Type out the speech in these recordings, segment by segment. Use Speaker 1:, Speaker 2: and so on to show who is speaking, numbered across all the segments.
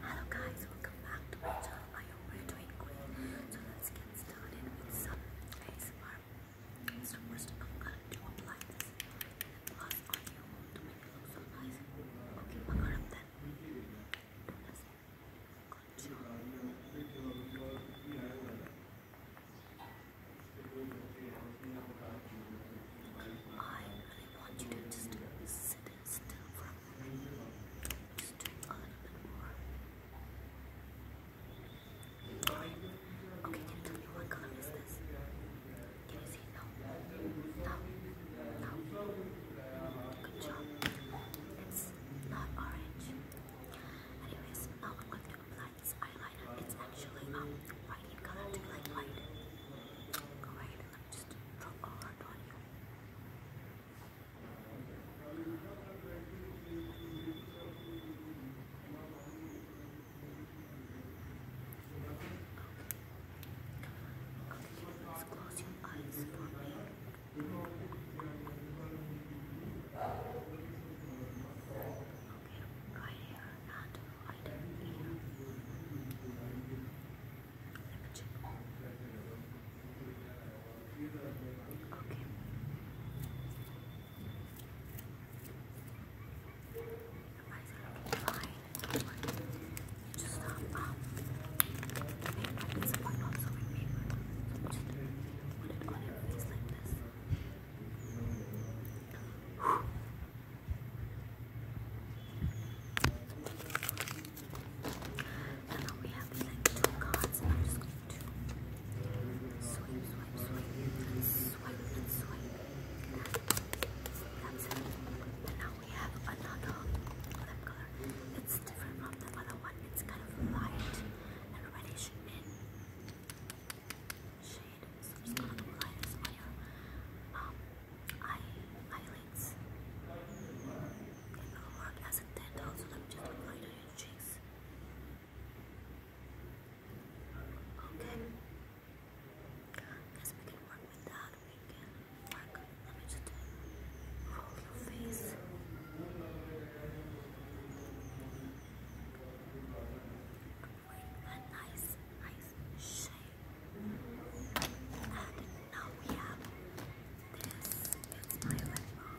Speaker 1: Hello guys, welcome back to my channel. I hope you So let's get started with some ASMR. So first I'm going to apply this lip gloss on you to make it look so nice. Okay, Bakaram then. I really want you to just sit this down just a little bit more. Okay, can you tell me what color is this? Can you see? No. No. No. Good job. It's not orange. Anyways, now I'm going to apply eyeliner. It's actually um white color, do you like just drop on you. Okay, let's close your eyes for me. Okay, right here, not wider ear. Let check. Oh. Okay. Your eyes are looking fine. Don't worry. Just um, um the paper at this point also in paper. So just put it on your face like this. Whew. And now we have like two cards. I'm just going to swipe, swipe, swipe, swipe, and swipe. And now we have another color. It's different from the other one. It's kind of light and reddish um, eyelids. It will work as a tint also, let me just apply on your cheeks. Okay. Guess we can work with We can work. Let me just roll your face with a nice, nice shape. And now we have this. It's my lip balm.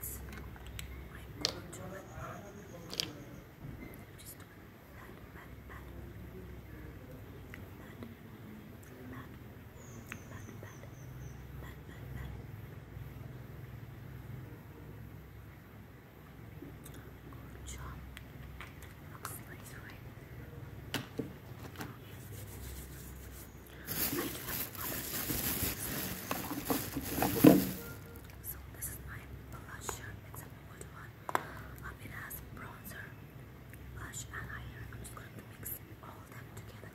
Speaker 1: It's my gorgeous lip balm. Just pat, pat, pat. Pat, pat, pat, pat, pat, pat, pat. Good job. Looks nice, right? So this is my blusher, except for good one. Um, it has bronzer, blush, and I'm just going to mix all of them together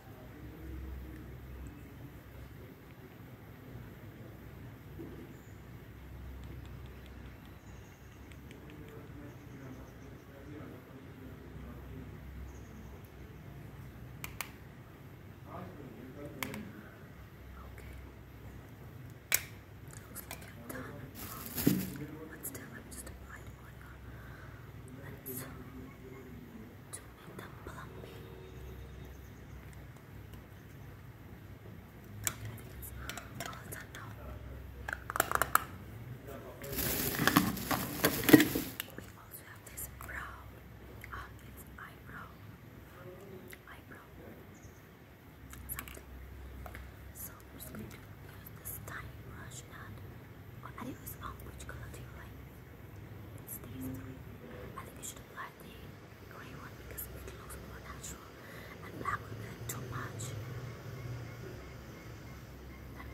Speaker 1: Let's do, let me just apply it on your lens to meet the plumbing. Okay, all done now. we also have this brow. Um, it's eyebrow. Eyebrow. Something. So i this tiny brush and I think it's on which color do like? It's these three. I think you should apply the grey one because it looks more natural and black will be too much. And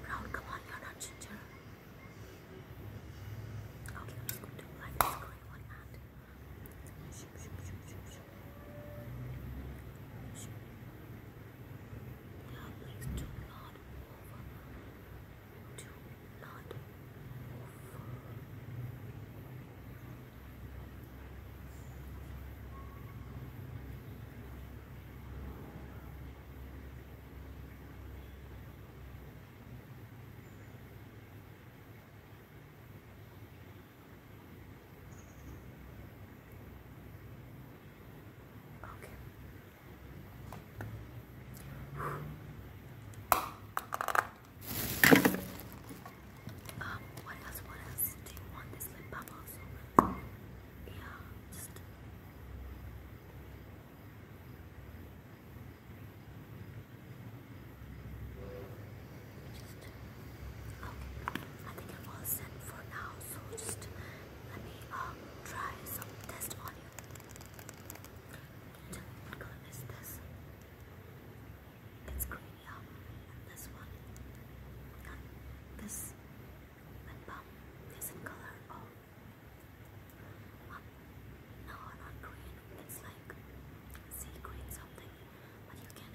Speaker 1: brown, come on, you're not ginger. Okay, I'm just to apply this grey one and shoop, shoop, shoop, shoop, shoop. Now please do not over. not over. Okay. Um, what else? What else? Do you want this lip balm Yeah, just just okay. I think i all set for now. So just let me um, try some test on you. Tell me what this? It's green, yeah. this one, and um, this lip is in color oh. um, no, not green. It's like sea green something, but you can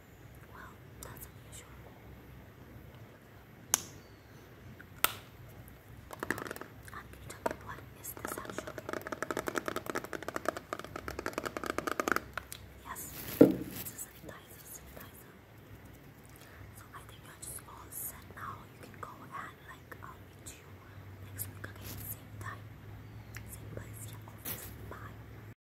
Speaker 1: Well, that's unusual. How can you tell me what is this actually? Yes, it's a sanitizer, sanitizer. So I think you're just all set now. You can go and like I'll meet you next week again, same time, same place. Bye.